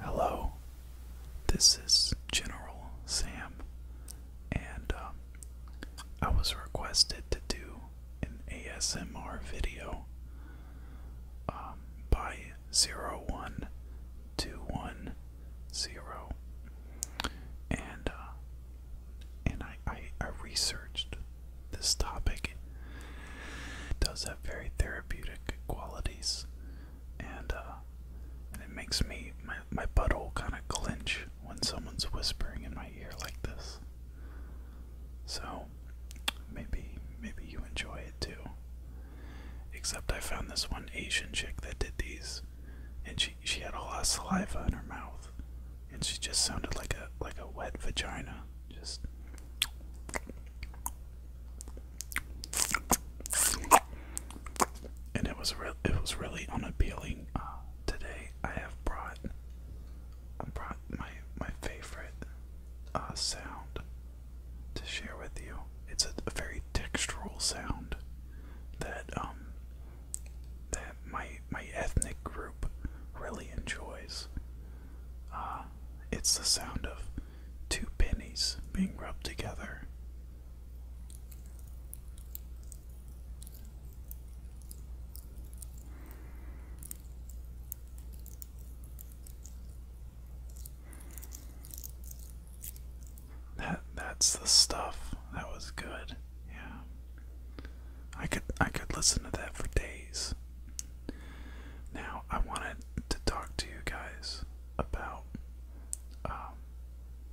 hello, this is General Sam, and um, I was requested to do an ASMR video um, by 01210. And uh, and I, I researched this topic. It does have very therapeutic qualities. And uh, and it makes me my my butthole kind of clench when someone's whispering in my ear like this. So maybe maybe you enjoy it too. Except I found this one Asian chick that did these and she she had a lot of saliva in her mouth and she just sounded like a like a wet vagina. Just and it was re it was really unappealing. Uh, today I have brought I brought my my favorite uh, sound to share with you. It's a, a very textural sound that um that my my ethnic group really enjoys. Uh, it's the sound of two pennies being rubbed together. That that's the stuff. That was good. Yeah. I could I could listen to that for days. Now, I wanted to talk to you guys about um,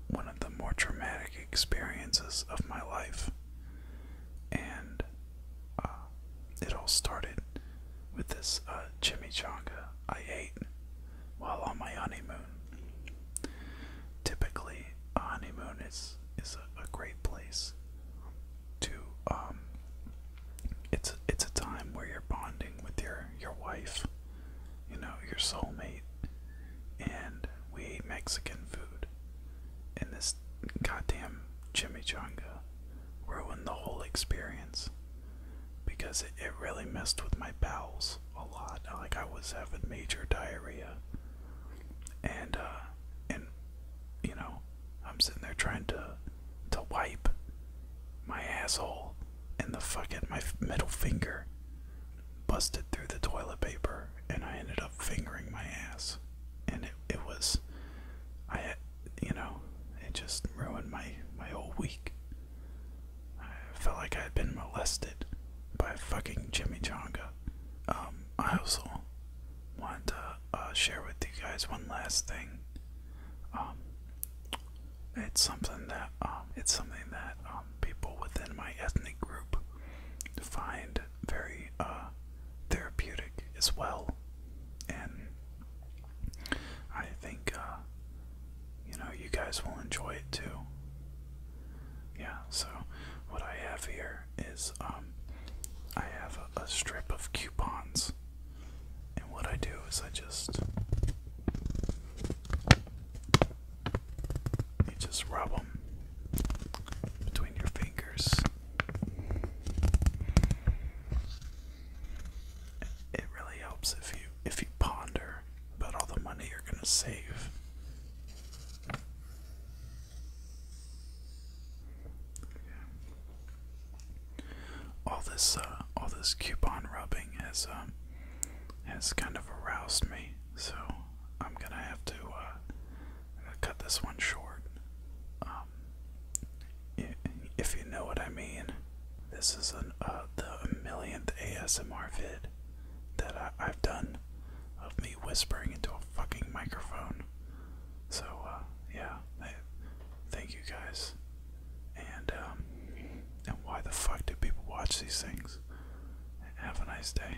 one of the more traumatic experiences of my life. And uh, it all started with this uh, chimichanga I ate while on my honeymoon. Typically, a honeymoon is, is a great place to um it's it's a time where you're bonding with your your wife, you know, your soulmate, and we ate Mexican food. And this goddamn chimichanga ruined the whole experience because it, it really messed with my bowels a lot. Like I was having major diarrhea. And uh and you know, I'm sitting there trying to to wipe my asshole and the fucking my middle finger busted through the toilet paper and I ended up fingering my ass and it it was I you know it just ruined my my whole week. I felt like I had been molested by fucking Jimmy chimichanga. Um asshole. Want to uh, share with you guys one last thing. Um, it's something that um, it's something that um, people within my ethnic group find very uh, therapeutic as well, and I think uh, you know you guys will enjoy it too. Yeah. So what I have here is um, I have a, a strip of coupons, and what I do is I just you just rub them between your fingers. It really helps if you if you ponder about all the money you're gonna save all this, uh, all this coupon rubbing has, um, has kind of aroused me, so I'm gonna have to uh, cut this one short. Um, if you know what I mean, this is an, uh, the millionth ASMR vid that I've done of me whispering into a fucking microphone. So, uh, yeah, thank you guys. And, um, and why the fuck do people watch these things? Have a nice day.